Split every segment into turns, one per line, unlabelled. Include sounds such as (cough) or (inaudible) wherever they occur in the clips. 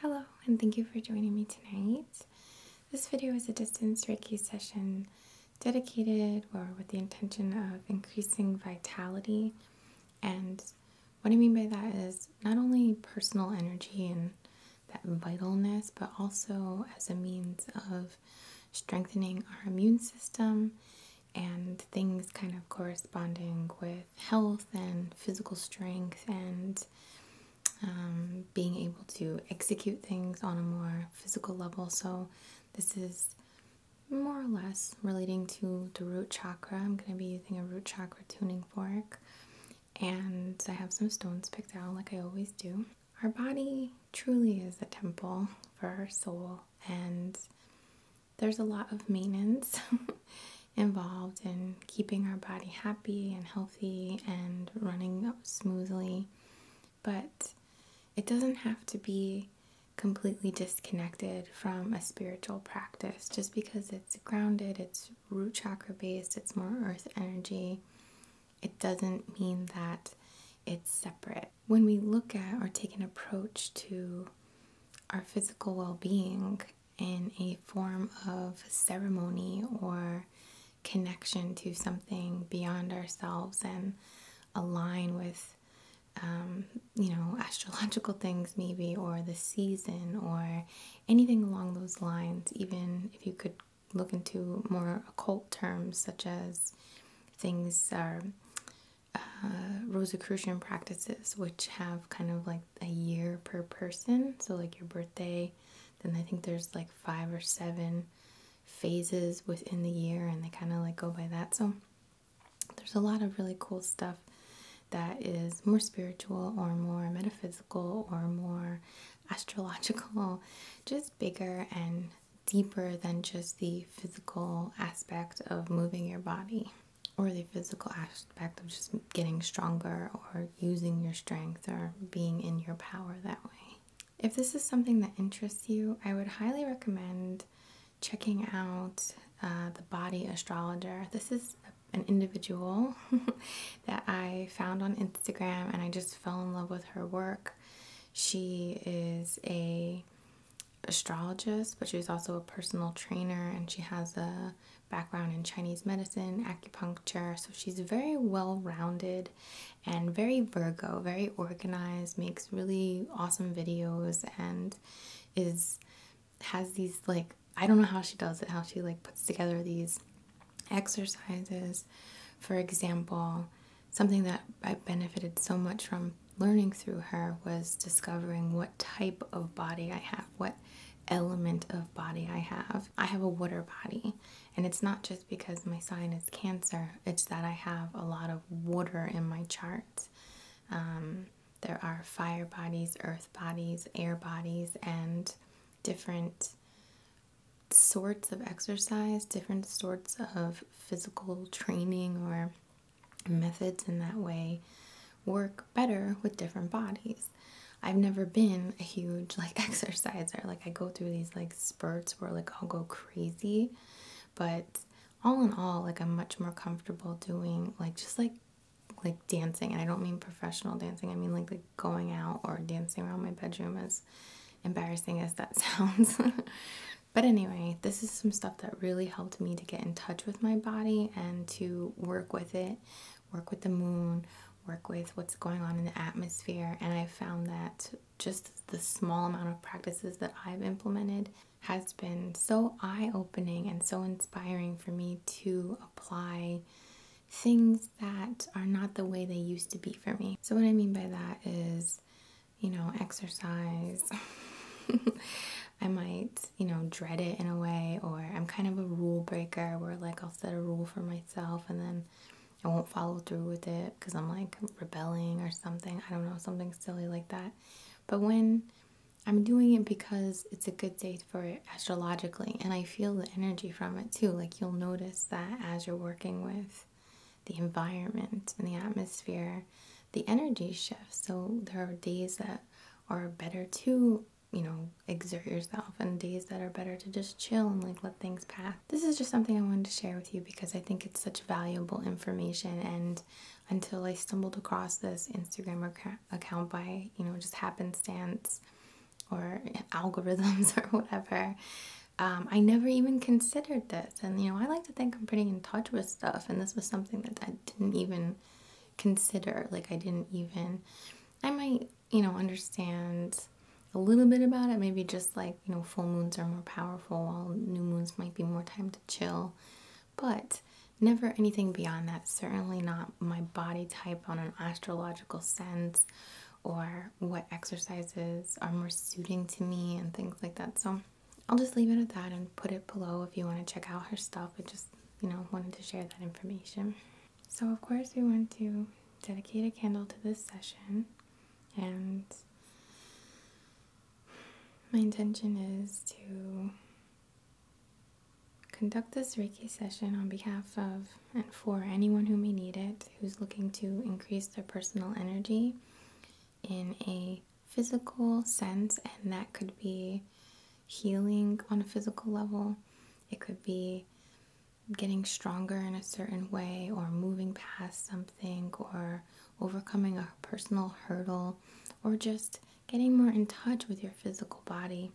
Hello, and thank you for joining me tonight. This video is a distance Reiki session dedicated or with the intention of increasing vitality. And what I mean by that is not only personal energy and that vitalness, but also as a means of strengthening our immune system and things kind of corresponding with health and physical strength and um, being able to execute things on a more physical level. So, this is more or less relating to the root chakra. I'm going to be using a root chakra tuning fork, and I have some stones picked out like I always do. Our body truly is a temple for our soul, and there's a lot of maintenance. (laughs) involved in keeping our body happy and healthy and running smoothly. But it doesn't have to be completely disconnected from a spiritual practice just because it's grounded, it's root chakra based, it's more earth energy. It doesn't mean that it's separate. When we look at or take an approach to our physical well being in a form of ceremony or connection to something beyond ourselves and align with um, you know (laughs) astrological things maybe or the season or anything along those lines even if you could look into more occult terms such as things are uh, rosicrucian practices which have kind of like a year per person. So, like your birthday, then I think there's like five or seven phases within the year, and they kind of like go by that. So, there's a lot of really cool stuff that is more spiritual or more metaphysical or more astrological, (laughs) just bigger and deeper than just the physical aspect of moving your body or the physical aspect of just getting stronger or using your strength or being in your power that way. If this is something that interests you, I would highly recommend checking out uh, the Body Astrologer. This is an individual (laughs) that I found on Instagram and I just fell in love with her work. She is a astrologist, but she's also a personal trainer and she has a background in Chinese medicine, acupuncture, so she's very well rounded and very Virgo, very organized, makes really awesome videos and is has these like I don't know how she does it, how she like puts together these exercises. For example, something that I benefited so much from learning through her was discovering what type of body I have, what element of body I have. I have a water body, and it's not just because my sign is Cancer, it's that I have a lot of water in my chart. Um, there are fire bodies, earth bodies, air bodies, and different sorts of exercise, different sorts of physical training or methods in that way work better with different bodies. I've never been a huge like (laughs) exerciser. Like I go through these like spurts where like I'll go crazy, but all in all, like I'm much more comfortable doing like just like like dancing, and I don't mean professional dancing. I mean like going out or dancing around my bedroom as embarrassing as that (laughs) sounds. but anyway, this is some stuff that really helped me to get in touch with my body and to work with it work with the moon, work with what's going on in the atmosphere. And I found that just the small amount of practices that I've implemented has been so eye opening and so inspiring for me to apply things that are not the way they used to be for me. So, what I mean by that is, you know, exercise. (laughs) I might you know, dread it in a way, or I'm kind of a rule breaker where like I'll set a rule for myself and then I won't follow through with it because I'm like rebelling or something. I don't know, something silly like that. But when I'm doing it because it's a good day for astrologically, and I feel the energy from it too. Like you'll notice that as you're working with the environment and the atmosphere, the energy shifts. So there are days that are better to you know, exert yourself and days that are better to just chill and like let things pass. This is just something I wanted to share with you because I think it's such valuable information and until I stumbled across this Instagram account by, you know, just happenstance or (laughs) algorithms (laughs) or whatever, um, I never even considered this. And, you know, I like to think I'm pretty in touch with stuff and this was something that I didn't even consider. Like I didn't even I might, you know, understand a little bit about it. Maybe just like, you know, full moons are more powerful while new moons might be more time to chill. But never anything beyond that. Certainly not my body type on an astrological sense or what exercises are more suiting to me and things like that. So I'll just leave it at that and put it below if you want to check out her stuff. It just you know, wanted to share that information. So, of course, we want to dedicate a candle to this session, and my intention is to conduct this Reiki session on behalf of and for anyone who may need it who's looking to increase their personal energy in a physical sense, and that could be healing on a physical level. It could be getting stronger in a certain way, or moving past something, or overcoming a personal hurdle, or just getting more in touch with your physical body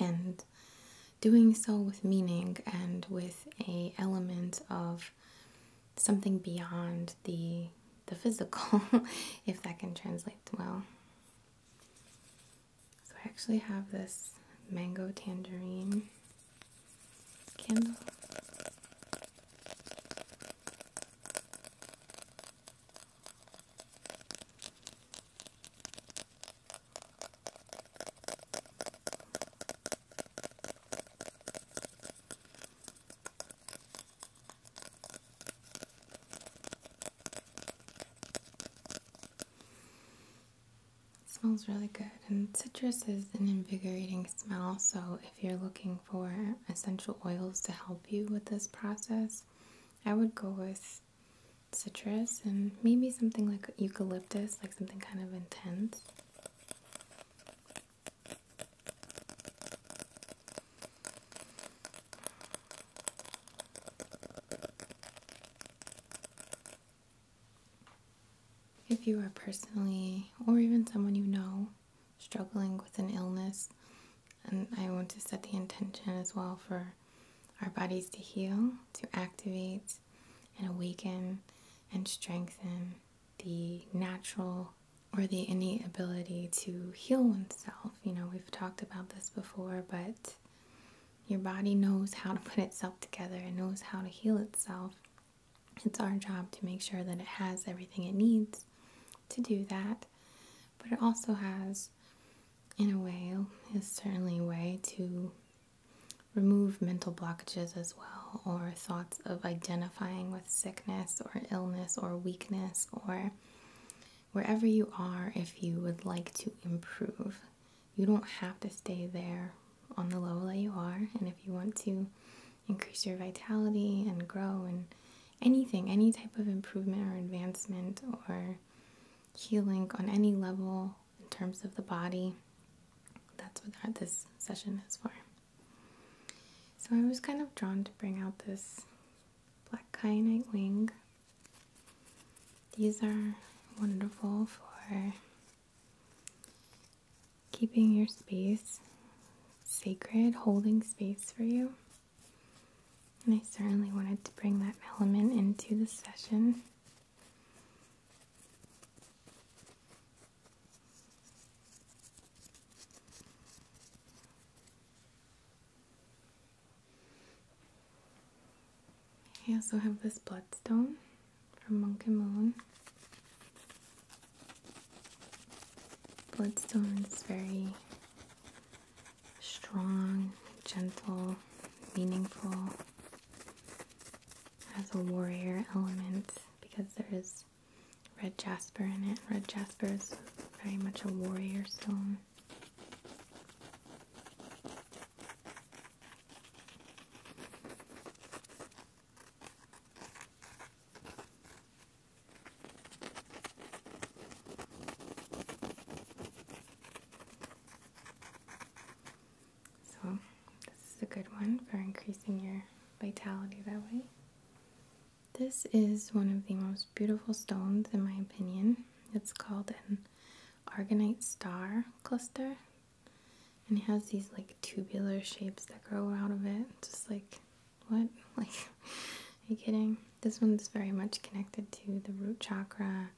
and doing so with meaning and with a element of something beyond the the physical (laughs) if that can translate well so I actually have this mango tangerine candle. It smells really good, and citrus is an invigorating smell. So, if you're looking for essential oils to help you with this process, I would go with citrus and maybe something like eucalyptus, like something kind of intense. If you are personally, or even someone you know, struggling with an illness, and I want to set the intention as well for our bodies to heal, to activate and awaken and strengthen the natural or the innate ability to heal oneself you know, we've talked about this before, but your body knows how to put itself together It knows how to heal itself. It's our job to make sure that it has everything it needs to do that, but it also has, in a way, is certainly a way to remove mental blockages as well, or thoughts of identifying with sickness or illness or weakness or wherever you are if you would like to improve. You don't have to stay there on the level that you are, and if you want to increase your vitality and grow and anything, any type of improvement or advancement or healing on any level in terms of the body, that's what this session is for. So I was kind of drawn to bring out this black kyanite wing. These are wonderful for keeping your space sacred, holding space for you. And I certainly wanted to bring that element into the session. I also have this bloodstone from Monkey Moon. Bloodstone is very strong, gentle, meaningful, has a warrior element because there is red jasper in it. Red jasper is very much a warrior stone. So, this is a good one for increasing your vitality that way. This is one of the most beautiful stones, in my opinion. It's called an Argonite Star cluster, and it has these like tubular shapes that grow out of it. Just like, what? (laughs) Like, are you kidding? This one's very much connected to the root chakra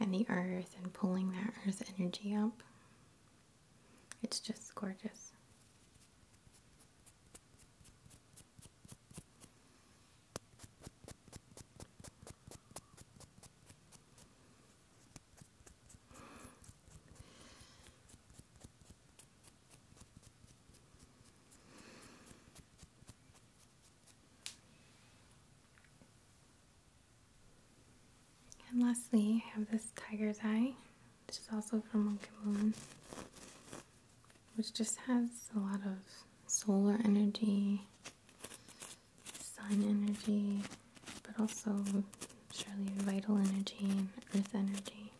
and the earth and pulling that earth energy up. It's just gorgeous. And lastly, I have this tiger's eye, which is also from Monkey Moon which just has a lot of solar energy, sun energy, but also surely vital energy earth energy.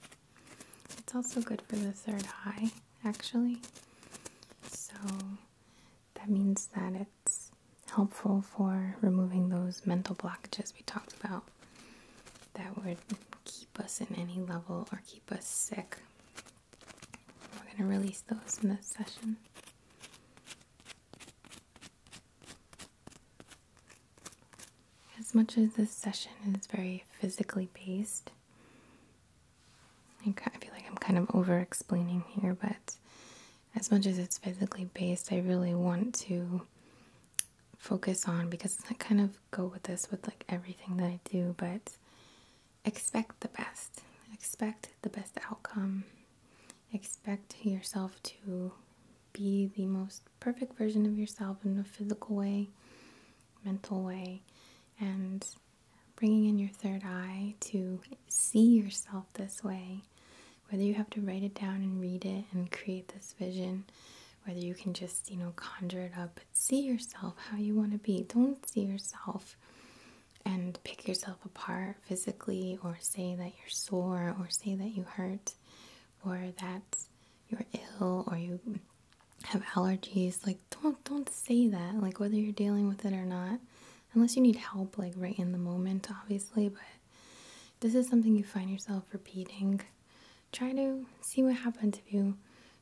It's also good for the third eye, actually. So that means that it's helpful for removing those mental blockages we talked about that would keep keep us in any level or keep us sick. We're going to release those in this session. As much as this session is very physically based, I feel like I'm kind of over explaining here, but as much as it's physically based, I really want to focus on because that kind of go with this with like everything that I do, but expect the best. Expect the best outcome. Expect yourself to be the most perfect version of yourself in a physical way, mental way, and bringing in your third eye to see yourself this way. Whether you have to write it down and read it and create this vision, whether you can just, you know, conjure it up, but see yourself how you want to be. Don't see yourself and pick yourself apart physically or say that you're sore or say that you hurt or that you're ill or you have allergies like don't don't say that like whether you're dealing with it or not unless you need help like right in the moment obviously but this is something you find yourself repeating try to see what happens if you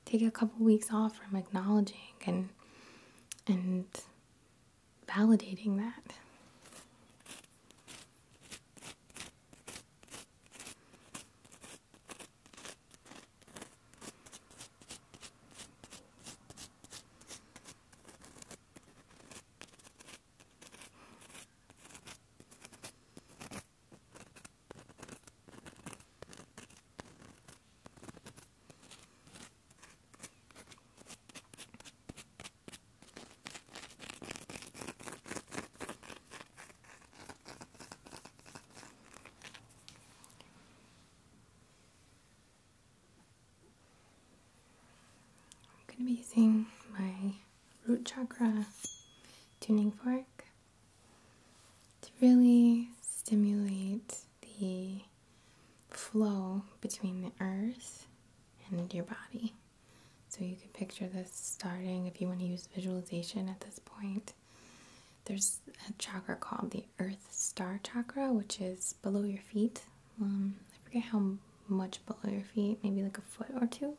take a couple weeks off from acknowledging and and validating that. I'm going to be using my root chakra tuning fork to really stimulate the flow between the earth and your body. So you can picture this starting if you want to use visualization at this point. There's a chakra called the Earth Star Chakra, which is below your feet. Um, I forget how much below your feet, maybe like a foot or two.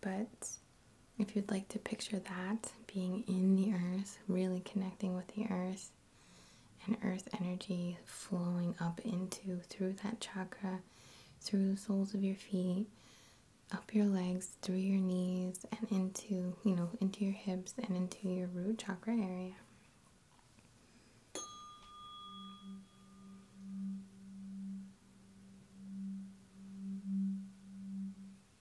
But if you'd like to picture that being in the earth, really connecting with the earth, and earth energy flowing up into through that chakra, through the soles of your feet, up your legs, through your knees, and into, you know, into your hips and into your root chakra area.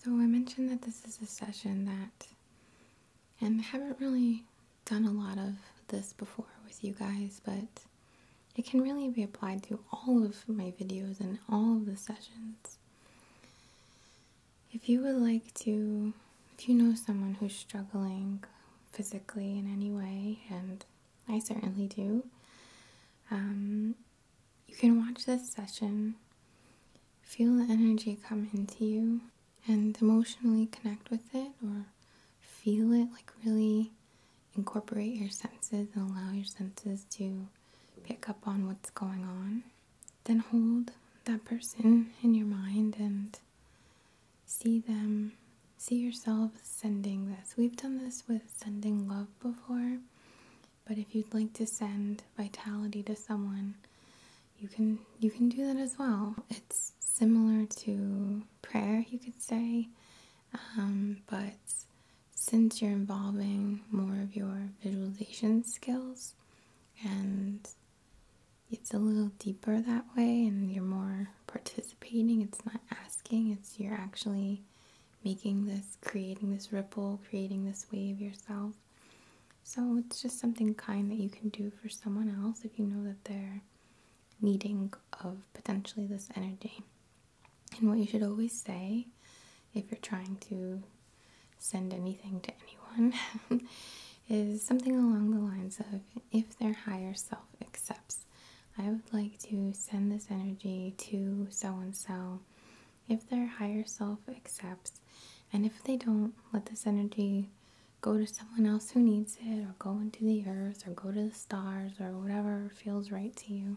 So, I mentioned that this is a session that, and I haven't really done a lot of this before with you guys, but it can really be applied to all of my videos and all of the sessions. If you would like to, if you know someone who's struggling physically in any way, and I certainly do, um, you can watch this session, feel the energy come into you, and emotionally connect with it or feel it, like really incorporate your senses and allow your senses to pick up on what's going on then hold that person in your mind and see them, see yourself sending this. We've done this with sending love before, but if you'd like to send vitality to someone, you can you can do that as well. It's similar to prayer, you could say, um, but since you're involving more of your visualization skills, and it's a little deeper that way, and you're more participating. It's not asking, it's you're actually making this, creating this ripple, creating this wave yourself. So it's just something kind that you can do for someone else if you know that they're needing of potentially this energy. And what you should always say if you're trying to send anything to anyone, (laughs) is something along the lines of if their higher self accepts, I would like to send this energy to so and so. If their higher self accepts, and if they don't, let this energy go to someone else who needs it, or go into the earth, or go to the stars, or whatever feels right to you.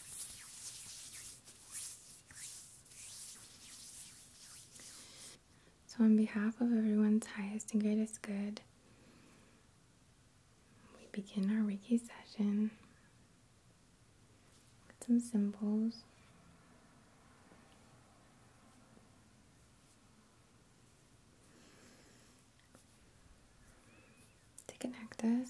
So, on behalf of everyone's highest and greatest good, we begin our Reiki session with some symbols. To connect us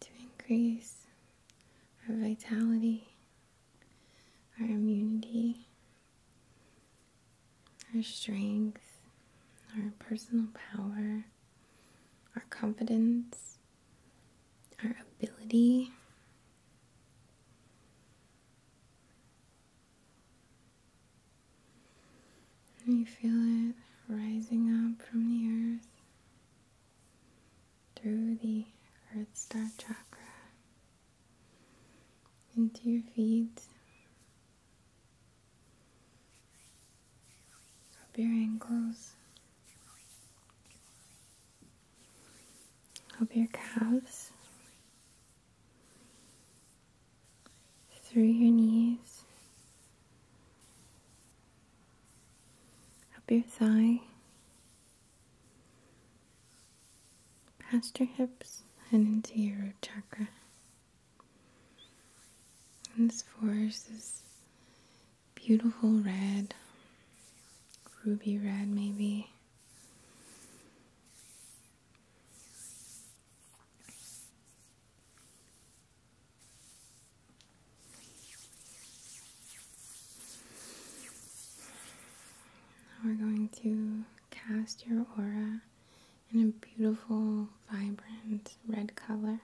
to increase our vitality, our immunity, our strength, our personal power, our confidence, our ability and you feel it rising up from the earth through the Earth Star Chakra into your feet, up your ankles, up your calves, through your knees, up your thigh, past your hips, and into your root chakra. And this forest is beautiful red, ruby red maybe. Now we're going to cast your aura in a beautiful, vibrant red color.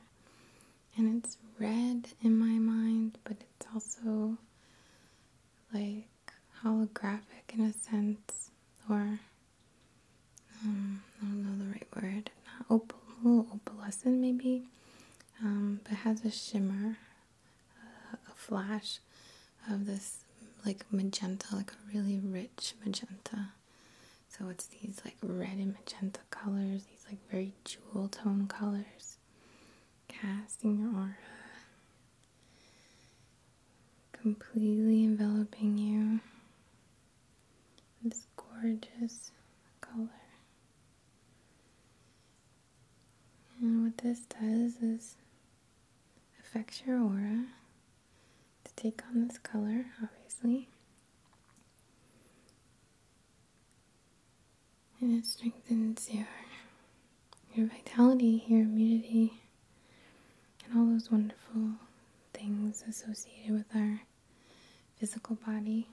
And it's red in my mind, but it's also like holographic in a sense, or um, I don't know the right word, opal, a opalescent maybe, um, but has a shimmer, a flash of this like magenta, like a really rich magenta. So it's these like red and magenta colors, these like very jewel tone colors, casting your aura completely enveloping you this gorgeous color. And what this does is affects your aura to take on this color, obviously. And it strengthens your your vitality, your immunity, and all those wonderful things associated with our physical body.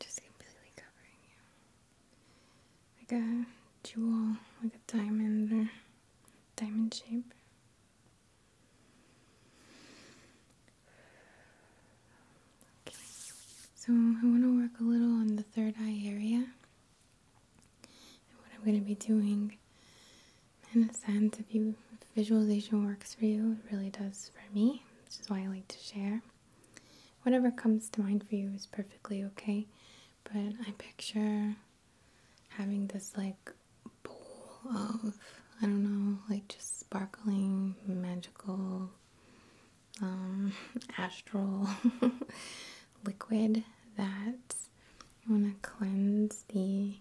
Just completely covering you. Like a jewel, like a diamond or diamond shape. Okay. So I want to work a little on the third eye area. And what I'm going to be doing, in a sense, if you if visualization works for you, it really does for me, which is why I like to share. Whatever comes to mind for you is perfectly okay, but I picture having this like bowl of I don't know, like just sparkling magical um (laughs) astral liquid that you want to cleanse the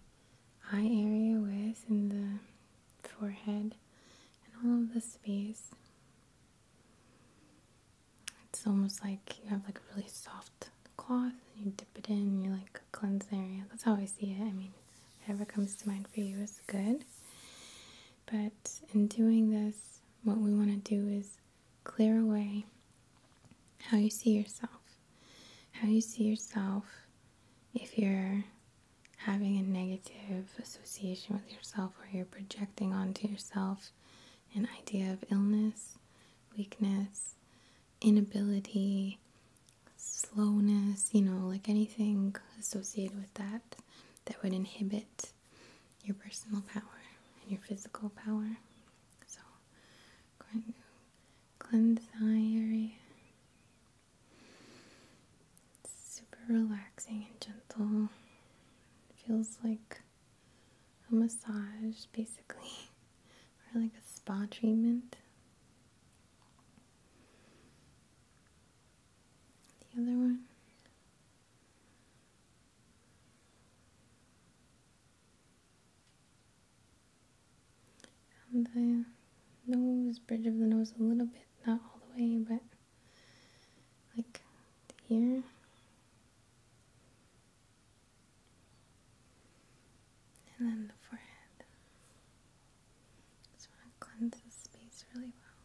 eye area with and the forehead and all of the space. It's almost like you have like a really soft cloth and you dip it in and you like cleanse the area. That's how I see it. I mean, whatever comes to mind for you is good. But in doing this, what we want to do is Clear away how you see yourself. How you see yourself if you're having a negative association with yourself or you're projecting onto yourself an idea of illness, weakness, inability, slowness, you know, like anything associated with that that would inhibit your personal power and your physical power. So, going to cleanse the area. super relaxing and gentle. feels like a massage, basically, (laughs) or like a spa treatment. The other one the nose, bridge of the nose a little bit, not all the way, but like here. And then the forehead. Just want to cleanse this space really well.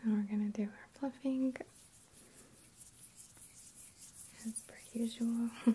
Okay. So we're going to do our fluffing as per usual. (laughs)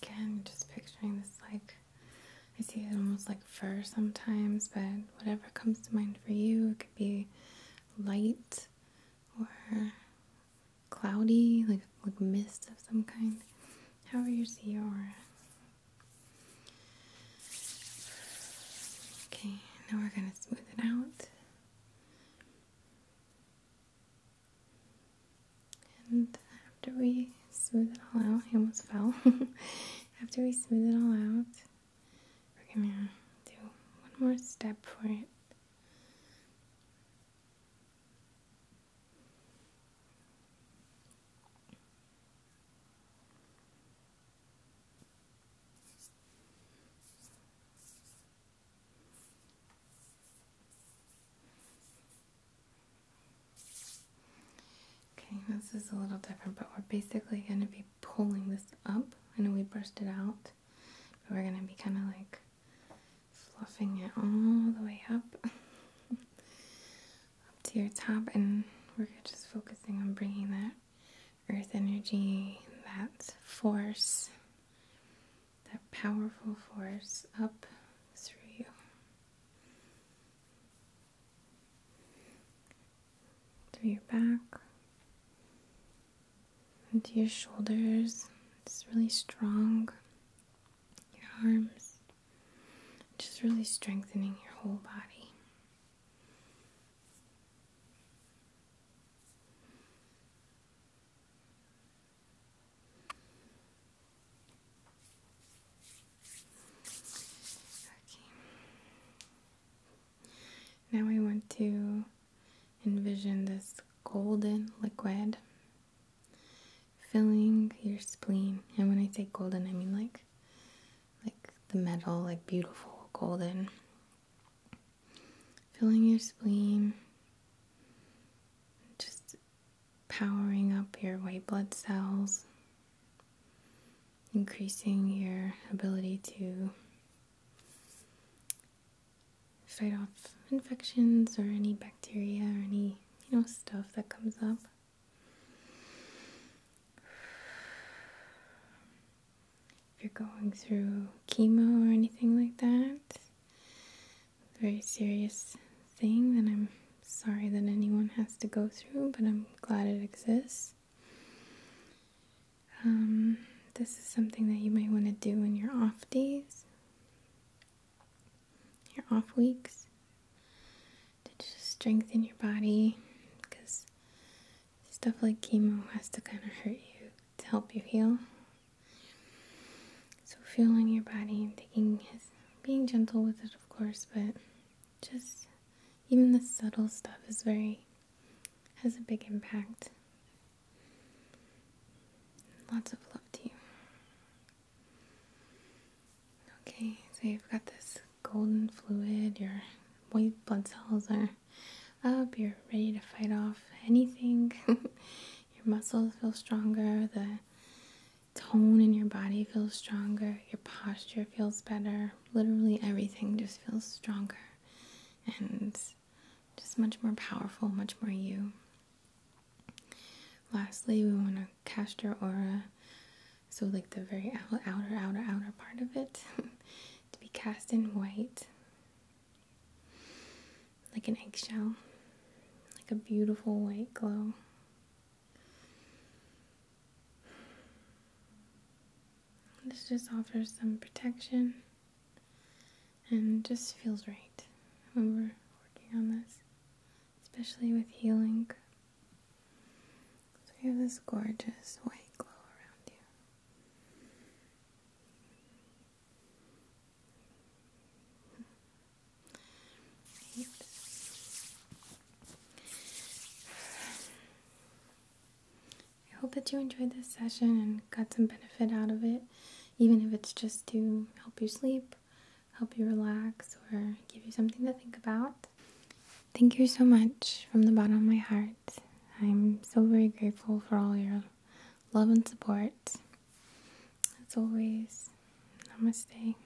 Again, just picturing this like I see it almost like fur sometimes, but whatever comes to mind for you, it could be light or cloudy, like like mist of some kind. However you see it. Okay, now we're gonna smooth it out. And after we smooth it all out, I almost fell. (laughs) after we smooth it all out, we're gonna do one more step for it. Okay, this is a little different, but we're basically going to be pulling this up. I know we brushed it out, but we're going to be kind of like fluffing it all the way up, (laughs) up to your top, and we're just focusing on bringing that earth energy, that force, that powerful force up through you through your back, into your shoulders. It's really strong. Your arms, just really strengthening your whole body. Now I want to envision this golden liquid filling your spleen. And when I say golden, I mean like like the metal, like beautiful golden. Filling your spleen, just powering up your white blood cells, increasing your ability to fight off infections or any bacteria or any you know stuff that comes up if you're going through chemo or anything like that very serious thing then i'm sorry that anyone has to go through, but I'm glad it exists. Um, this is something that you might want to do in your off days, your off weeks, to just strengthen your body because stuff like chemo has to kind of hurt you to help you heal. So, feeling your body, taking being gentle with it, of course, but just even the subtle stuff is very has a big impact. Lots of love to you. Okay, so you've got this golden fluid, your white blood cells are up, you're ready to fight off anything. (laughs) your muscles feel stronger, the tone in your body feels stronger, your posture feels better. Literally everything just feels stronger and just much more powerful, much more you. Lastly, we want to cast your aura, so like the very outer, outer, outer part of it, (laughs) to be cast in white, like an eggshell, like a beautiful white glow. This just offers some protection and just feels right when we're working on this, especially with healing. So you have this gorgeous white glow around you. I hope that you enjoyed this session and got some benefit out of it, even if it's just to help you sleep, help you relax, or give you something to think about. Thank you so much from the bottom of my heart. I'm so very grateful for all your love and support. As always, namaste.